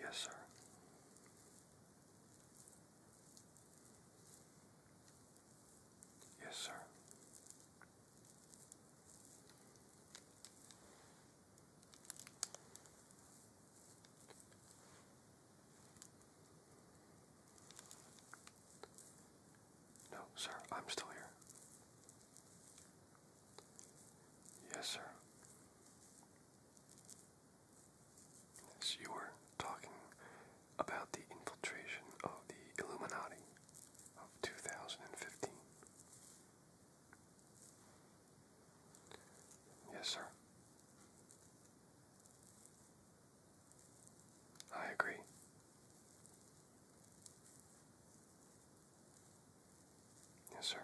Yes, sir. Yes, sir. No, sir, I'm still here. Yes, sir. you were talking about the infiltration of the Illuminati of 2015. Yes, sir. I agree. Yes, sir.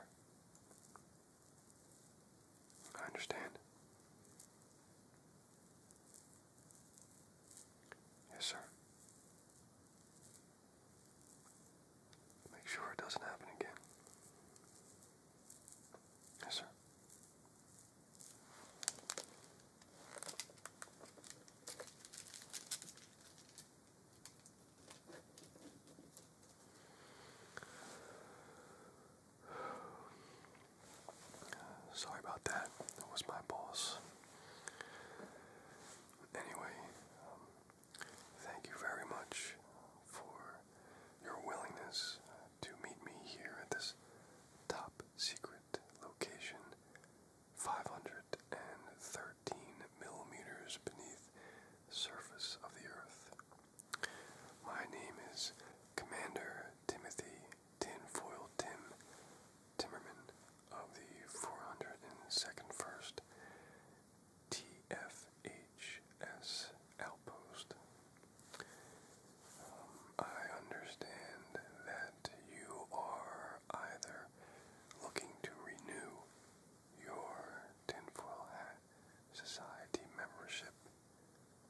I understand. Yes, sir. Make sure it doesn't happen again. Yes, sir. Sorry about that. That was my boss. Anyway, um, thank you very much for your willingness to meet me here at this top secret location 513 millimeters beneath the surface of the earth. My name is Commander Timothy Tinfoil Tim Timmerman of the 402nd First TFHS Outpost. Um, I understand that you are either looking to renew your tinfoil hat society membership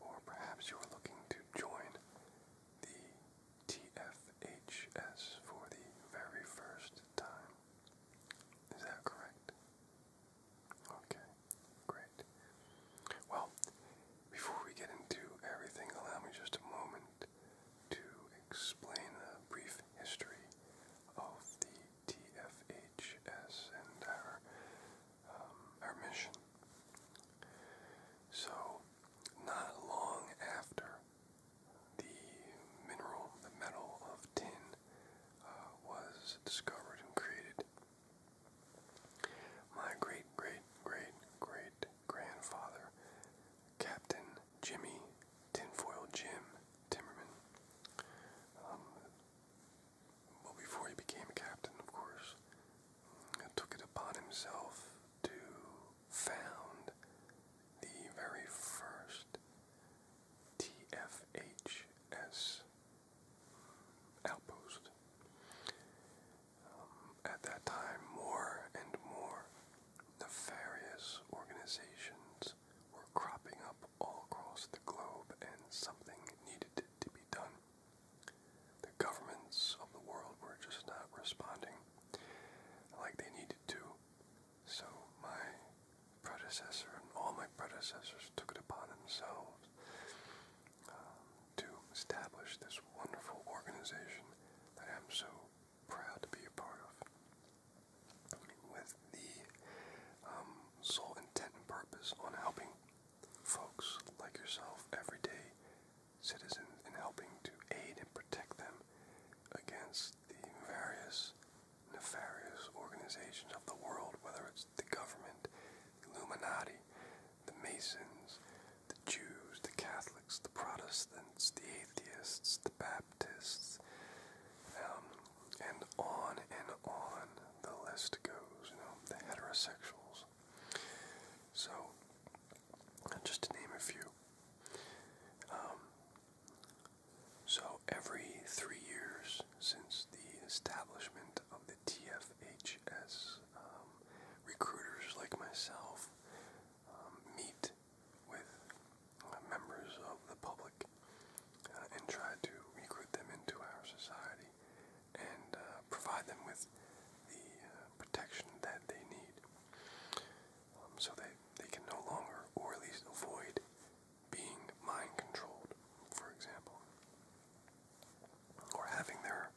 or perhaps you're looking to join the TFS for the very first time. Is that correct? Okay, great. Well, before we get into everything, allow me just a moment to explain a brief history of the TFHS and our, um, our mission. So, not long after the mineral, the metal of tin, uh, was discovered and created, my great, great, great, great grandfather, Captain Jimmy Tinfoil Jim Timmerman. Um, well, before he became captain, of course, took it upon himself to found the very first TFHS outpost at that time, more and more nefarious organizations were cropping up all across the globe, and something needed to be done. The governments of the world were just not responding like they needed to. So my predecessor and all my predecessors took it upon themselves um, to establish this wonderful organization that I'm so proud to be a part of, with the um, sole intent and purpose on helping folks like yourself, everyday citizens, in helping to aid and protect them against the various nefarious organizations of the world, whether it's the government, Illuminati, the Masons, the Jews, the Catholics, the Protestants, the atheists, the Baptists, um, and on and on the list goes, you know, the heterosexuals. So, just to name a few. Um, so, every three years since the establishment of the TFHS, um, recruiters like myself um, meet with uh, members of the public uh, and try to recruit them into our society and uh, provide them with the protection that they need um, so they, they can no longer, or at least avoid, being mind controlled, for example, or having their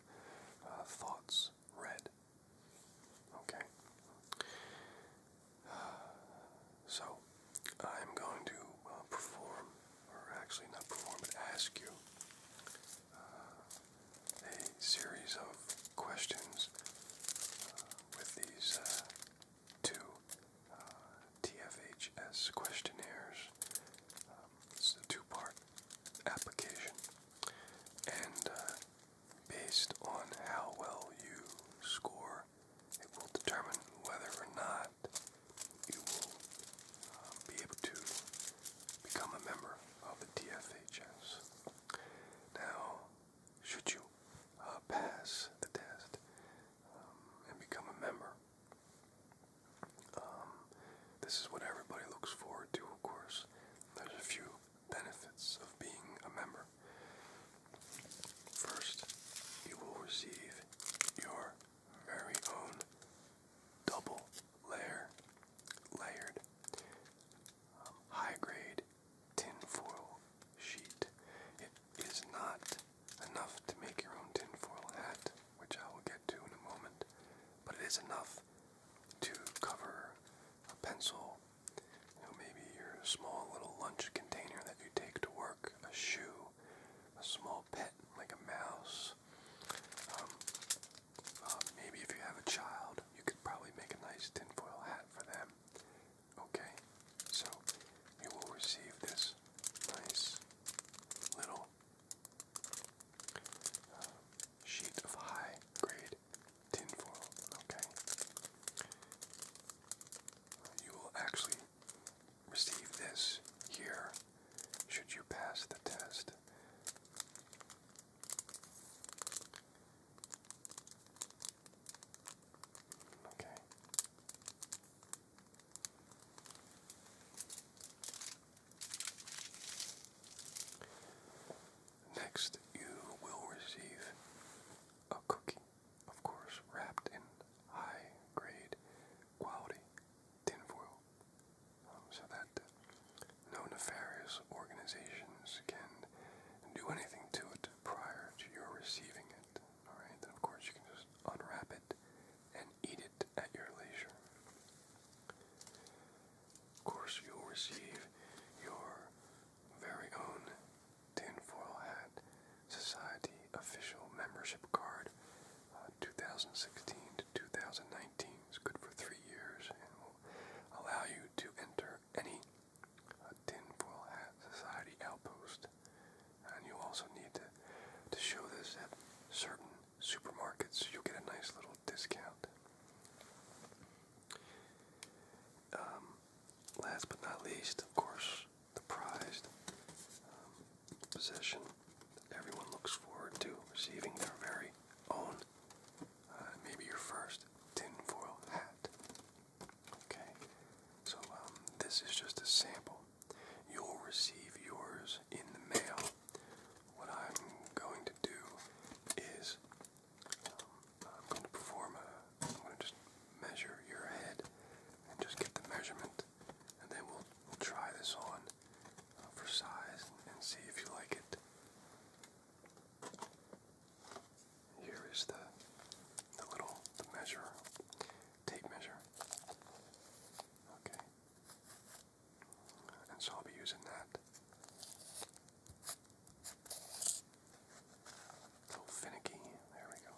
thoughts read Okay. So, I'm going to uh, perform, or actually not perform, but ask you uh, a series of questions uh, with these two uh, TFHS questionnaires. Um, it's a two part application. And based on how well you score, it will determine whether or not you will um, be able to become a member of the TFHS. Now, should you uh, pass the test um, and become a member, um, this is what everybody looks forward to, of course. There's a few benefits of being a member. First, you will receive your very own double layer layered um, high grade tinfoil sheet. It is not enough to make your own tinfoil hat, which I will get to in a moment, but it is enough to cover a pencil, you maybe your small little lunch container that you take to work, a shoe, a small pet like a mouse. Um, uh, maybe if you have a child, you could probably make a nice tinfoil hat for them. Okay, so you will receive this nice little uh, sheet of high grade tinfoil, okay? You will actually receive this here should you pass the test. Okay. Next, you will receive a cookie, of course, wrapped in high grade quality tin foil, um, so that no nefarious organizations can do anything to it prior to your receiving it. Alright, then of course you can just unwrap it and eat it at your leisure. Of course, you'll receive your very own Tinfoil Hat Society official membership card. Uh, 2016 to 2019 is good for three years and will allow you to enter any uh, Tinfoil Hat Society outpost. And you also need to, to show this at certain supermarkets. You'll get a nice little discount. Um, last but not least, of course, the prized um, possession that everyone looks forward to receiving their very own, uh, maybe your first tinfoil hat. Okay, so um, this is just a sample. You'll receive yours in the mail. What I'm going to do is I'm going to perform a, I'm going to just measure your head and just get the measurement and then we'll, we'll try this on uh, for size and see if you like it. Here is the, the little, the measure, tape measure. Okay. And so I'll be using that little oh, finicky. There we go.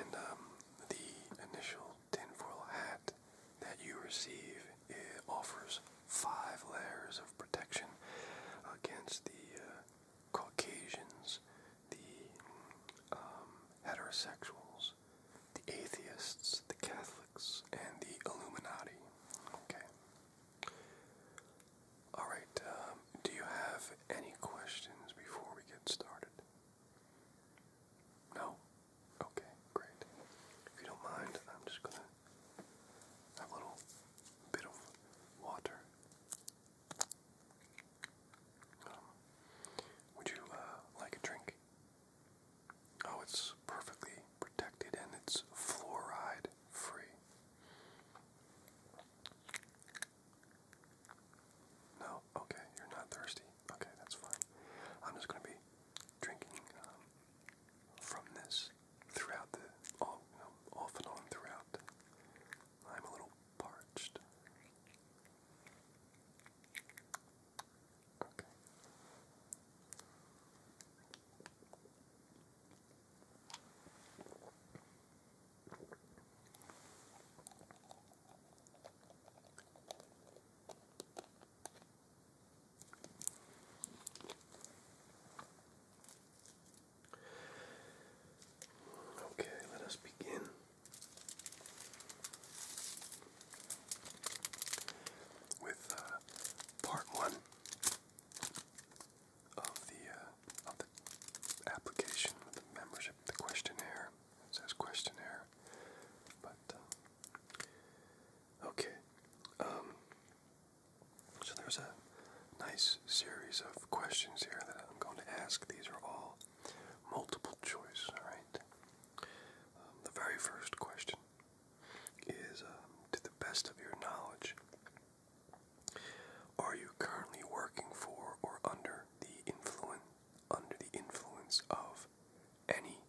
And um, the initial tinfoil hat that you receive it offers five layers of protection against the uh, Caucasians, the um, heterosexuals, the atheists, the Catholics, and the Illuminati. Okay. All right. Um, do you have any questions before we get started? No. Okay. Great. If you don't mind, I'm just gonna have a little bit of water. Um, would you uh, like a drink? Oh, it's perfectly protected and it's fluoride free. No, okay, you're not thirsty. Okay, that's fine. I'm just going to be drinking um, from this throughout the, all, off and on throughout. I'm a little parched. Okay. let us begin with uh, part one of the uh, of the application, the membership, the questionnaire. It says questionnaire, but uh, okay. Um, so there's a nice series of questions here that I'm going to ask. These are all multiple choice. All right. Um, the very first question is um, to the best of your knowledge, are you currently working for or under the influence under the influence of any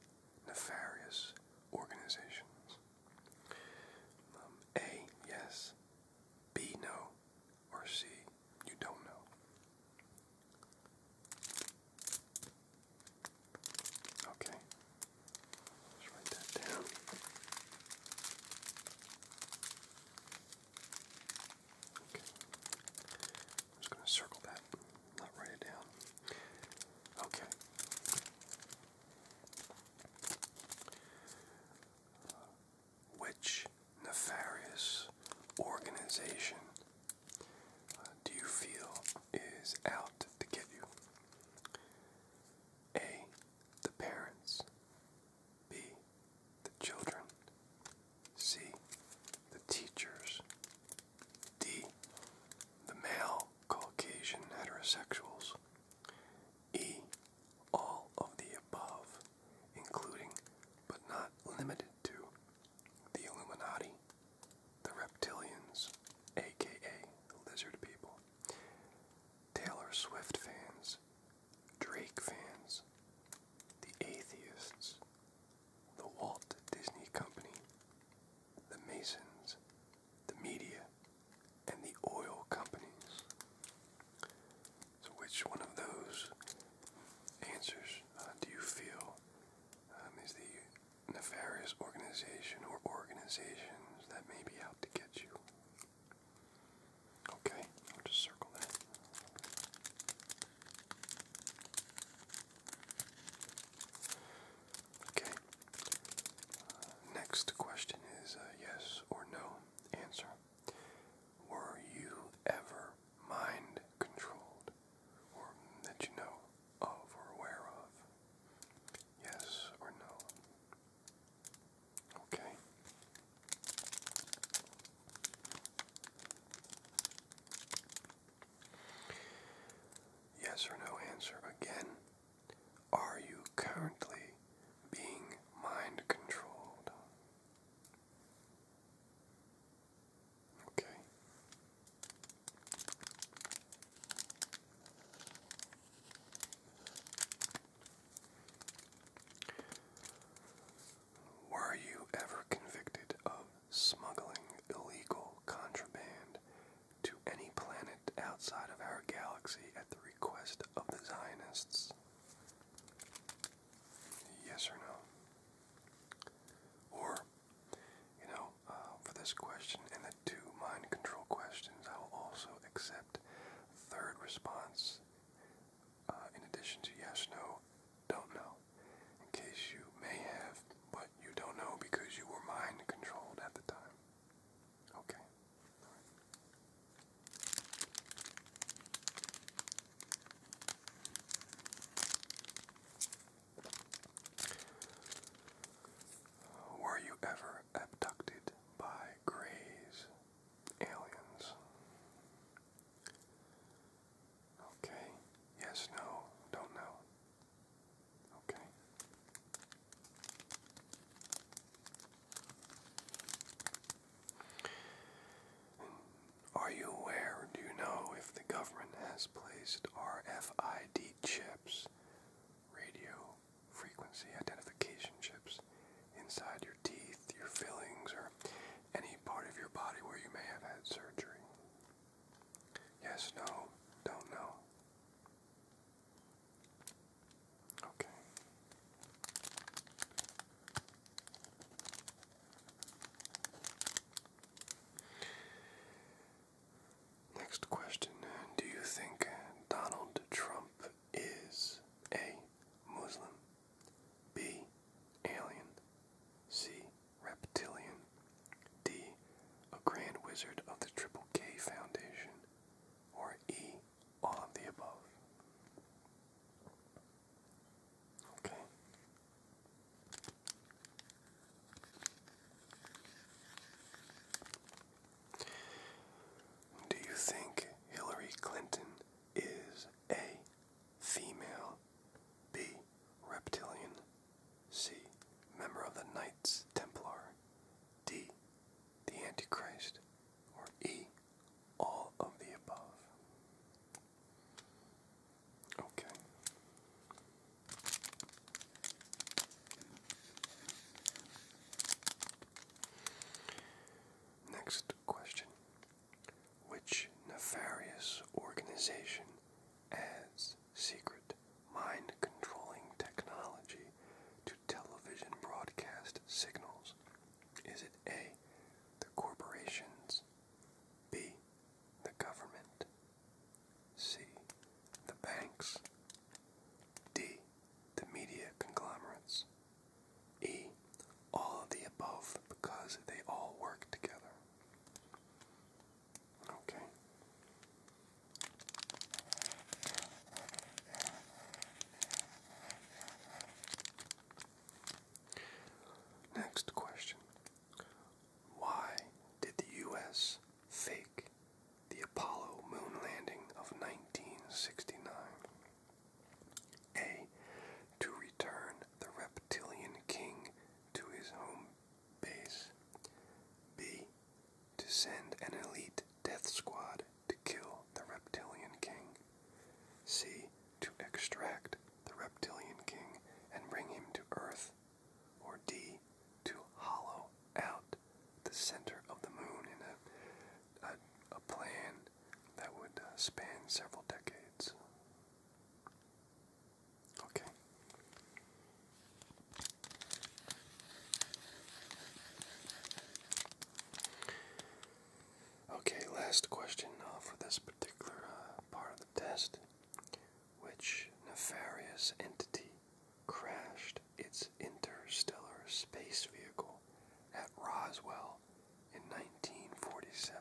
nefarious organizations? Um, A yes, B no, or C you don't know. Okay. Let's write that down. Okay. I'm just going to circle that, not write it down. Okay. Uh, which nefarious organization uh, do you feel is out to get you? A. The parents. B. The children. C. The teachers. D. The male Caucasian heterosexuals. E. All of the above, including but not limited to the Illuminati, the Reptilians, aka Lizard People, Taylor Swift fans, Drake fans, the Atheists, the Walt Disney Company, the Masons, the media, and the oil companies. So, which one of those answers uh, do you feel um, is the nefarious organization or organizations that may be out to get you. Okay, I'll just circle that. Okay. Uh, next question is a yes or no answer. Were you ever mind controlled? or that you know of or aware of? Yes or no? Okay. Yes or no answer again. Are you currently being mind controlled? Okay. Were you ever convicted of smuggling illegal contraband to any planet outside of our galaxy at the request of the Zionists? Yes or no? Or you know, uh, for this question and the two mind control questions, I will also accept third response uh, in addition to yes, no, don't know, in case you may have, but you don't know because you were mind controlled at the time. Okay. Were you ever abducted by greys, aliens? Okay. Yes, no, don't know. Okay. are you aware, do you know if the government has placed RFID speed chips, radio frequency identification chips inside your teeth, your fillings, or any part of your body where you may have had surgery. Yes, no, don't know. Okay. Next question Do you think Donald Trump is A. Muslim, B. Alien, C. Reptilian, D. A Grand Wizard of the Triple K Foundation, or E. All of the above? Okay. Do you think Hillary Clinton is A, female, B, reptilian, C, member of the Knights Templar, D, the Antichrist, or E, all of the above? Okay. Next question. Which nefarious organization adds secret mind controlling technology to television broadcast signals? Is it A, the corporations, B, the government, C. The banks. D. The media conglomerates. E. All of the above because they all work together. Okay. Next question. Why did the U.S. Fake the Apollo moon landing of 1969. A. To return the reptilian king to his home base. B. To send an elite death squad to kill the reptilian king. C. To extract the reptilian king and bring him to Earth or D, to hollow out the center of the moon in a, a, plan that would uh, span several decades. Okay. Okay, last question uh, for this particular uh, part of the test which nefarious entity crashed its interstellar space vehicle at Roswell in 1947?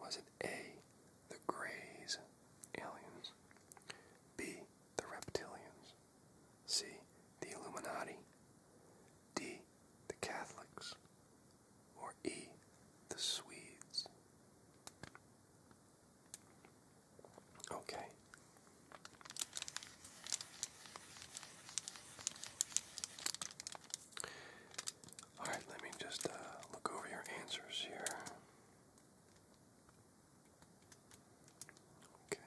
Was it A, the Greys aliens, B, the Reptilians, C, the Illuminati, D, the Catholics, or E, the Swedes? Okay. All right, let me just uh, look over your answers here. Okay.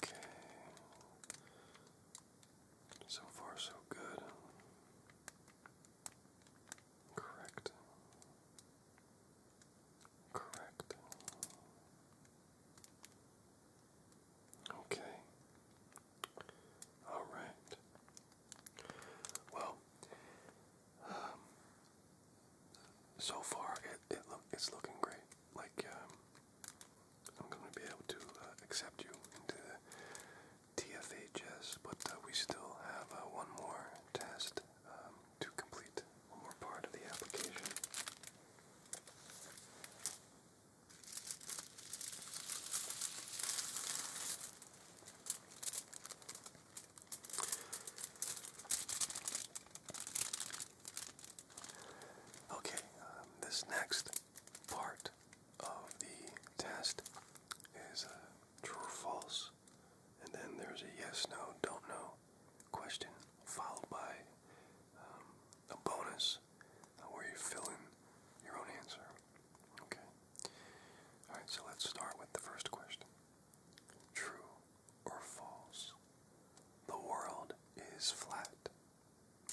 Okay. So far, so good. Correct. Correct. Okay. All right. Well, um, so far it, it's looking great. Like um, I'm going to be able to uh, accept you into TFHS, but uh, we still have uh, one more test um, to complete, one more part of the application. Okay, um, this next part of the test is a uh, true false, and then there's a yes, no, don't know question, followed by um, a bonus uh, where you fill in your own answer. Okay. Alright, so let's start with the first question. True or false? The world is flat.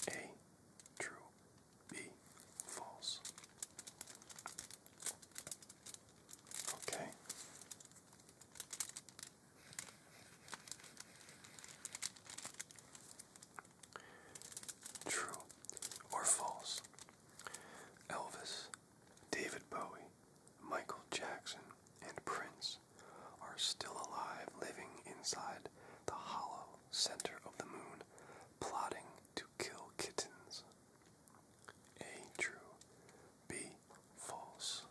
A. True. B. False. Okay. True or false? Elvis, David Bowie, Michael Jackson and Prince are still alive living inside the hollow center of the moon, plotting to kill kittens. A. True. B. False.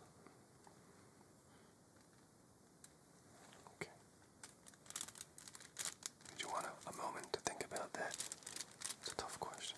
Okay. Did you want a, moment to think about that? It's a tough question.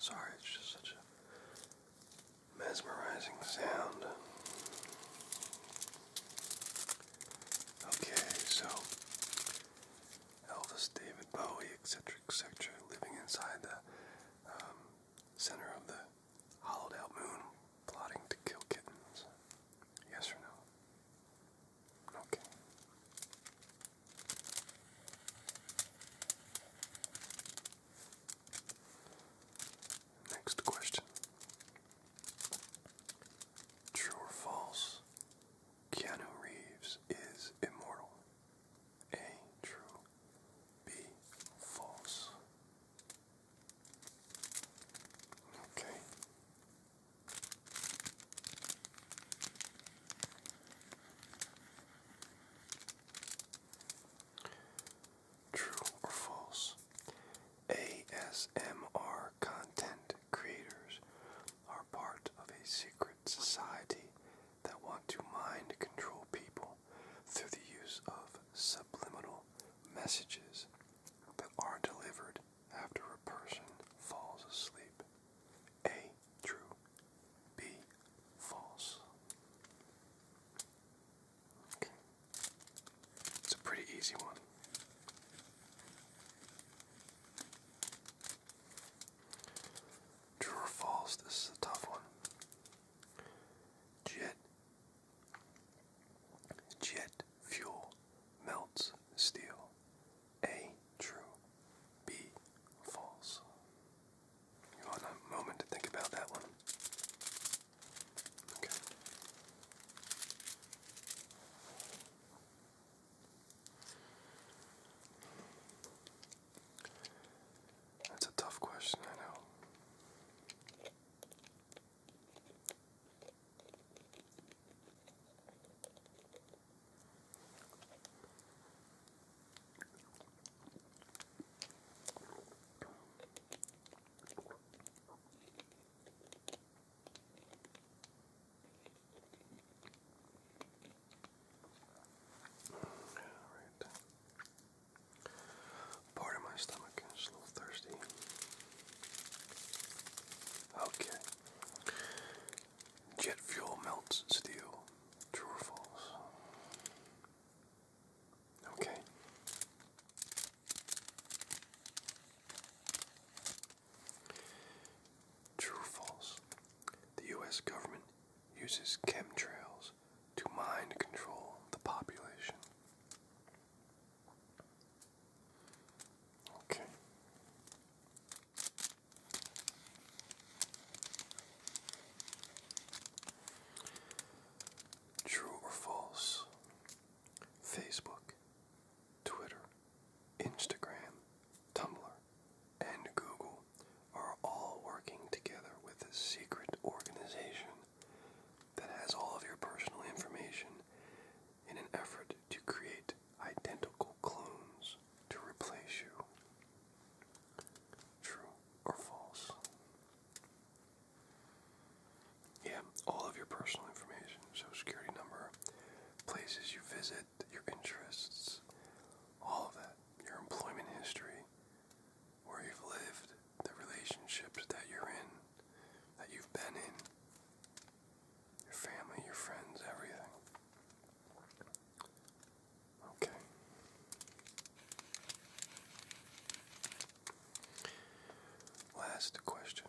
Sorry, it's just such a mesmerizing sound. Okay, so Elvis, David Bowie, etc., etc., living inside the um, center of the hollowed out moon, plotting to kill kittens. Yes or no? Okay. Next question. True or false? Keanu Reeves is immortal. A. True. B. False. Okay. True or false? ASMR content creators are part of a secret society that want to mind control people through the use of subliminal messages that are delivered after a person falls asleep. A. True. B. False. Okay. It's a pretty easy one. True or false? This is a tough one. Jet. Jet fuel melts steel. A. True. B. False. You want a moment to think about that one? Okay. That's a tough question, I know. Alright. Part of my stomach is a little thirsty. Okay. Jet fuel melts steel. True or false? Okay. True false. The US government uses chemtrails to mind control the population. Okay. True or false? Facebook, Twitter, Instagram, Tumblr, and Google are all working together with a secret organization that has all of your personal information in an effort to create identical clones to replace you. True or false? Yeah, all of your personal information, so security number, places you visit, your interests, all of that, your employment history, where you've lived, the relationships that you're in, that you've been in, your family, your friends, everything. Okay. Last question.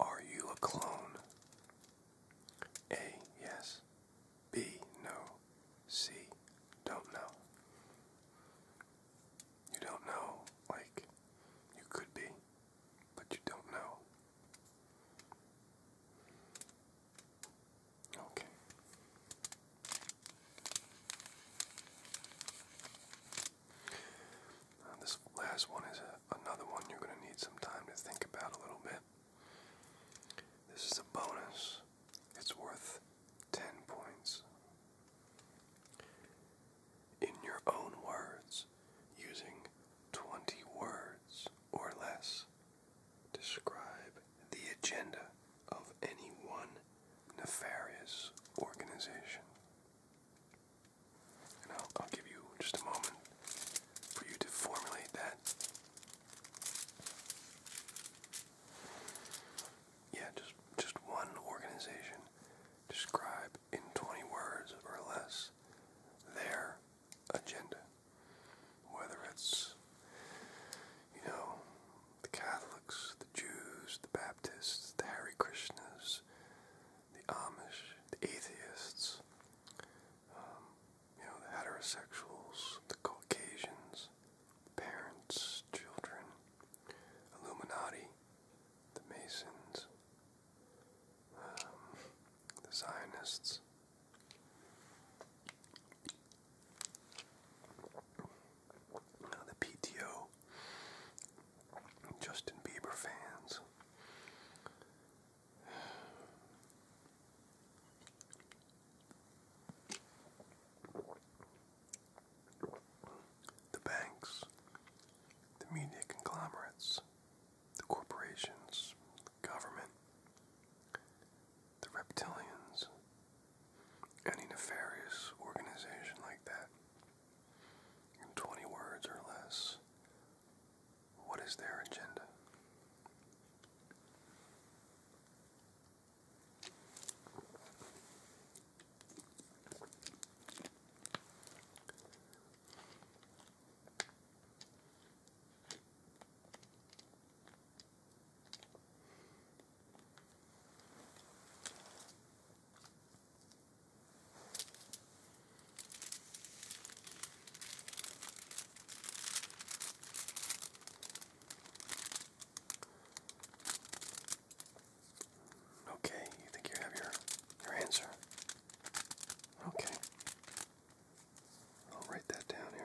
Are you a clone a yes. B no. C don't know. You don't know, like you could be, but you don't know. Okay. this last one is another one you're going to need some time to think about a little bit. This is a bonus. It's worth 10 points. In your own words, using 20 words or less, describe the agenda of any one nefarious organization. I'll, give you just a moment for you to formulate that. Yeah, just just one organization. Describe in 20 words or less their agenda. Whether it's, you know, the Catholics, the Jews, the Baptists, the Harry Krishnas, the Amish, the atheists, um, you know, the heterosexuals, the Caucasians, parents, children, Illuminati, the Masons, um, the Zionists. the PTO, Justin Bieber fans, the banks, the media conglomerates, the corporations, the government, the reptilians, any nefarious organization like that, in 20 words or less, what is their agenda? Okay, you think you have your your answer? Okay. I'll write that down here.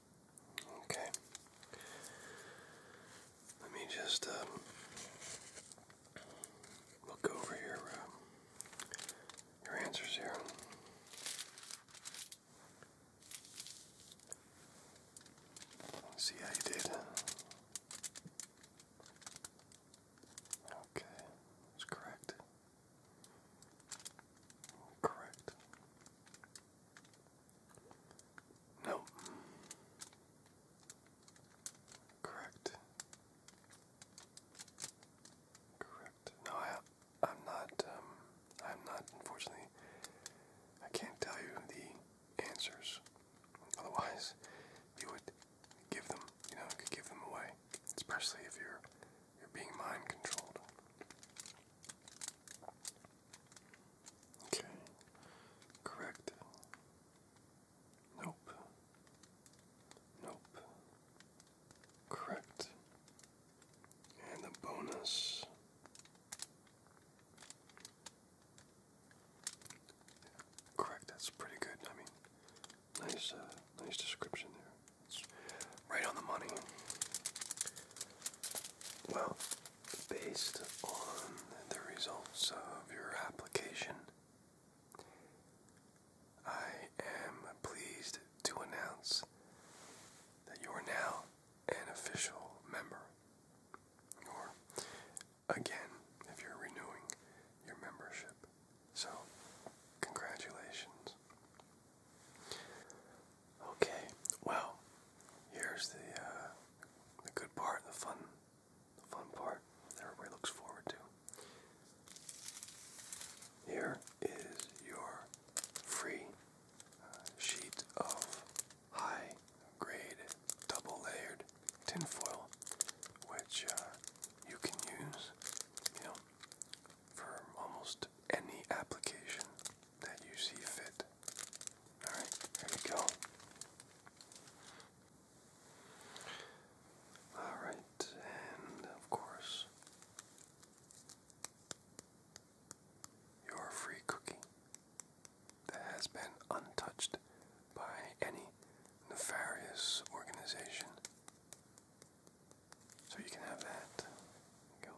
Okay. Let me just um, look over your um, your answers here. see how you did. Okay, that's correct. Correct. No. Correct. Correct. No, I, I'm not. Um, I'm not. Unfortunately, I can't tell you the answers. Otherwise, you would give them. You know, give them away, especially if you're you're being mind controlled. Okay. Correct. Nope. Nope. Correct. And the bonus. Correct. That's pretty good. I mean, nice, uh, nice description there. right on the money. Well, based on the results of your application, I am pleased to announce that you are now an official member. Or, again, if you're renewing your membership. So, congratulations. Okay, well, here's the uh, the good part, the fun, the fun part that everybody looks forward to. Here is your free uh, sheet of high grade double layered tinfoil, which uh, you can use, you know, for almost any application that you see fit. Alright, here we go. Alright, and of course, your free cookie that has been untouched by any nefarious organization. So you can have that. Go.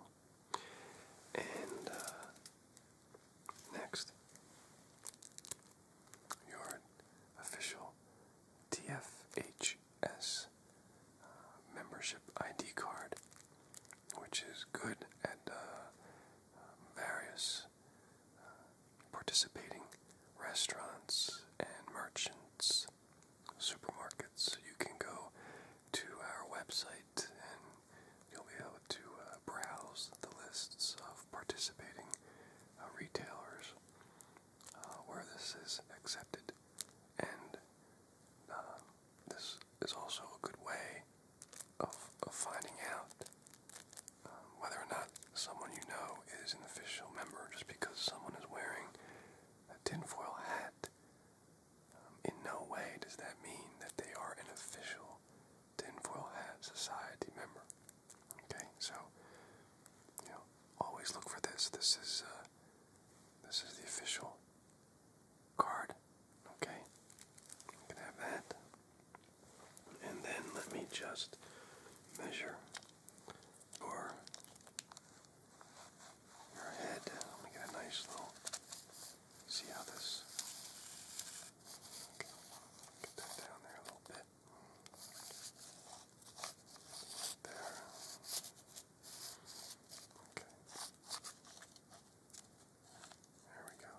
And uh, next, your official TFHS uh, membership ID card, which is good at uh, um, various participating restaurants and merchants, supermarkets. You can go to our website and you'll be able to uh, browse the lists of participating uh, retailers uh, where this is accepted. And this is also a good way of, of finding out um, whether or not someone you know is an official member just because someone is wearing a tinfoil hat um, in no way does that mean that they are an official tinfoil hat society member. Okay, so you know, always look for this. This is uh, this is the official card. Okay, you can have that. And then let me just measure your your head. Let me get a nice little. See how this. Get that down there a little bit. There. Okay. There we go.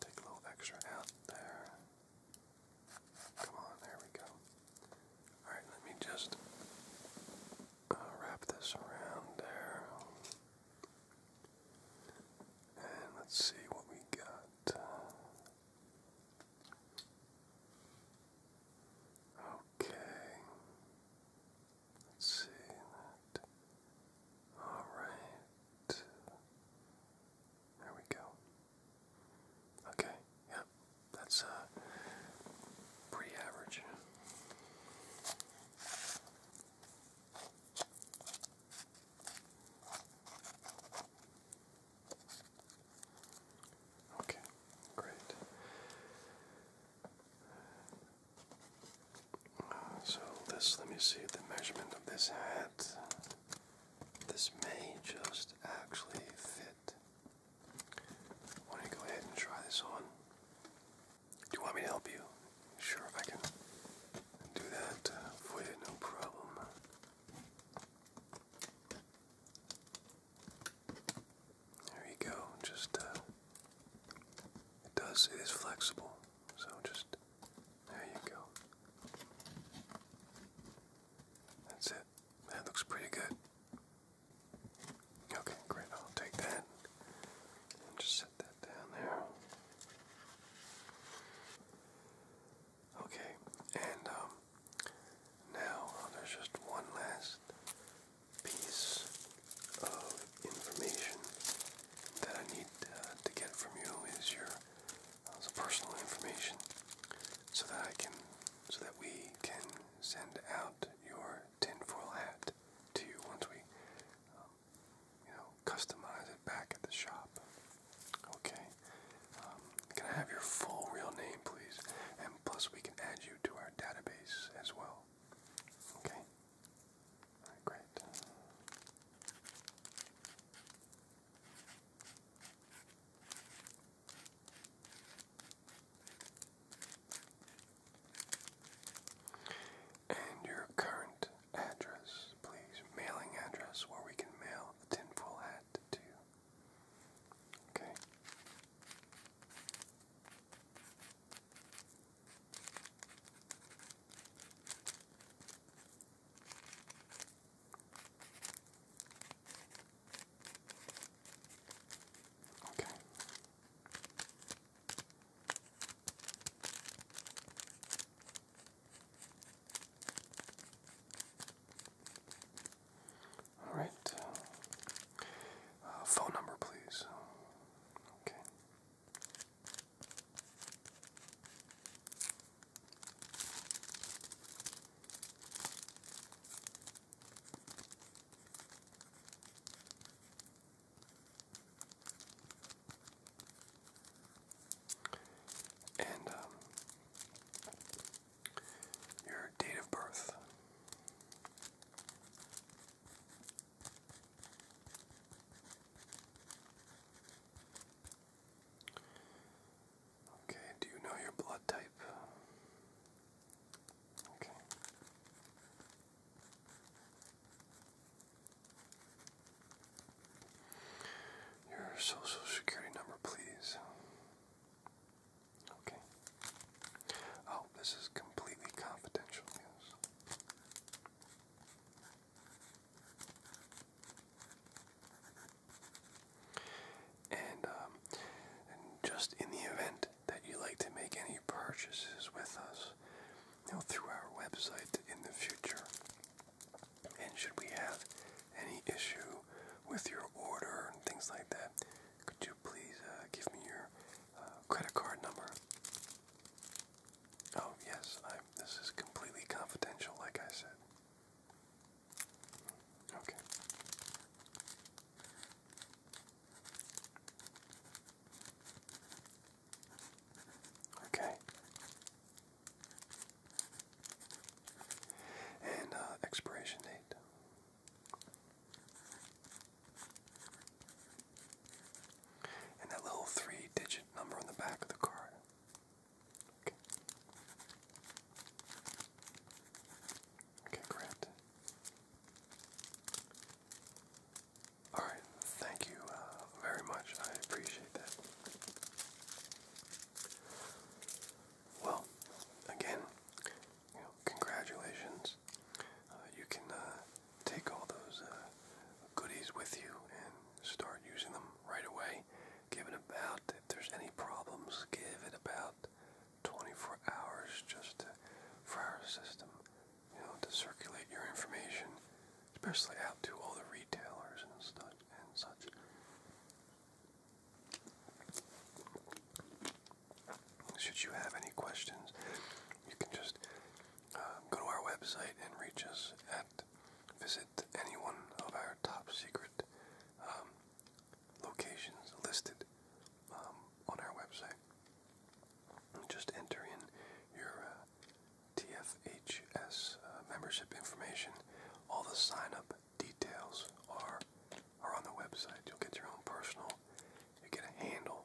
Take a little extra out there. Come on, there we go. Alright, let me just wrap this around there. And let's see what we got. Okay. Let's see that. All right. There we go. Okay. Yep. That's uh pretty average. Okay, great. so this, let me see the measurement of this hat. This may just actually fit. Why do go ahead and try this on? Do you want me to help you? Sure, I can do that for uh, you, no problem. There you go. Just uh, it does. It is flexible, so just there you go. That's it. That looks pretty good. Okay, great. I'll take that just set that down there. Okay, and um, now uh, there's just one last piece of information that I need uh, to get from you is your uh, personal information so that I can so that we can send out your tinfoil hat to you once we, um, you know, customize it back at the shop. Okay. Um, can I have your full real name, please? And plus, we can add you to our database as well. Okay. All right, great. And your current address, please. Mailing address where we can mail the tinfoil hat to you. Okay. Okay. All right. Uh, phone number, please. Okay and um, your date of birth. Okay, do you know your blood type? Okay. Your social security number, please. Okay. Oh, this is completely confidential news. Um, and just in the event that you'd like to make any purchases with us you know, through our website in the future. And should we have any issue with your order and things like that, could you please uh, give me your uh, credit card number? Oh, yes, this is completely confidential, like I said. Okay. Okay. And uh, expiration date. And that little three digit number on the back of the card. Okay. Okay, great. All right, thank you uh, very much. I appreciate that. Well, again, congratulations. Uh, you can uh, take all those goodies with you and start using them right away. Give it about, if there's any problems, give it about 24 hours just for our system you know, to circulate your information, especially out to all the retailers and such and such. Should you have any questions, you can just uh, go to our website and reach us at visit any one of our top secret um, locations listed um, on our website just enter in your uh, TFHS uh, membership information. All the sign up details are are on the website. You'll get your own personal. You get a handle.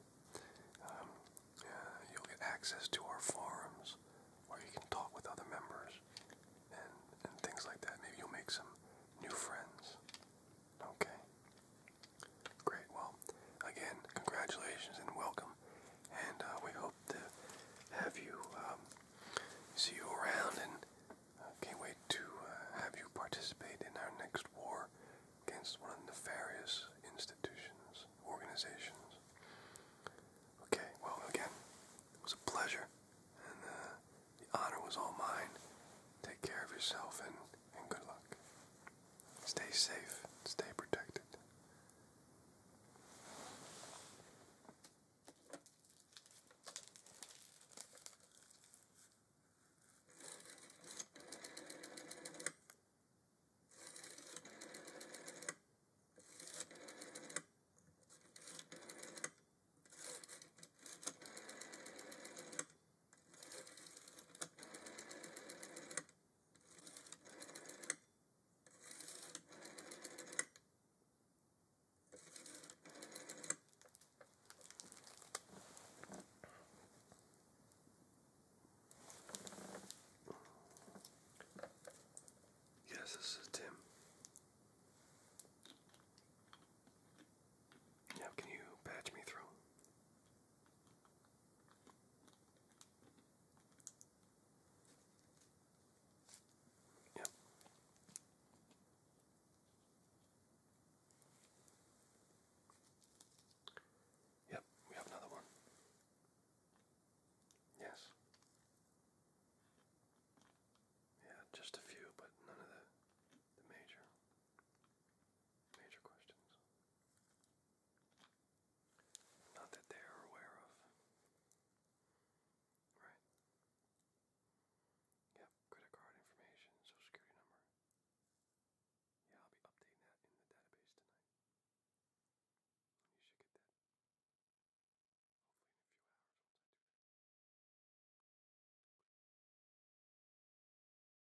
Um, uh, you'll get access to our forums, where you can talk with other members and and things like that. Maybe you'll make some new friends. Okay. Great. Well, again, congratulations and welcome. And uh, we hope to have you um, see you around and uh, can't wait to uh, have you participate in our next war against one of nefarious institutions, organizations. Okay, well, again, it was a pleasure, and the honor was all mine. Take care of yourself, and, and good luck. Stay safe, stay protected. Yes, this is Tim. Yeah, can you patch me through? Yep. Yep, we have another one. Yes. Yeah, just a few, but none of the the major major questions. Not that they are aware of. Right. Yep, credit card information, social security number. Yeah, I'll be updating that in the database tonight. You should get that. Hopefully in a few hours once I do that.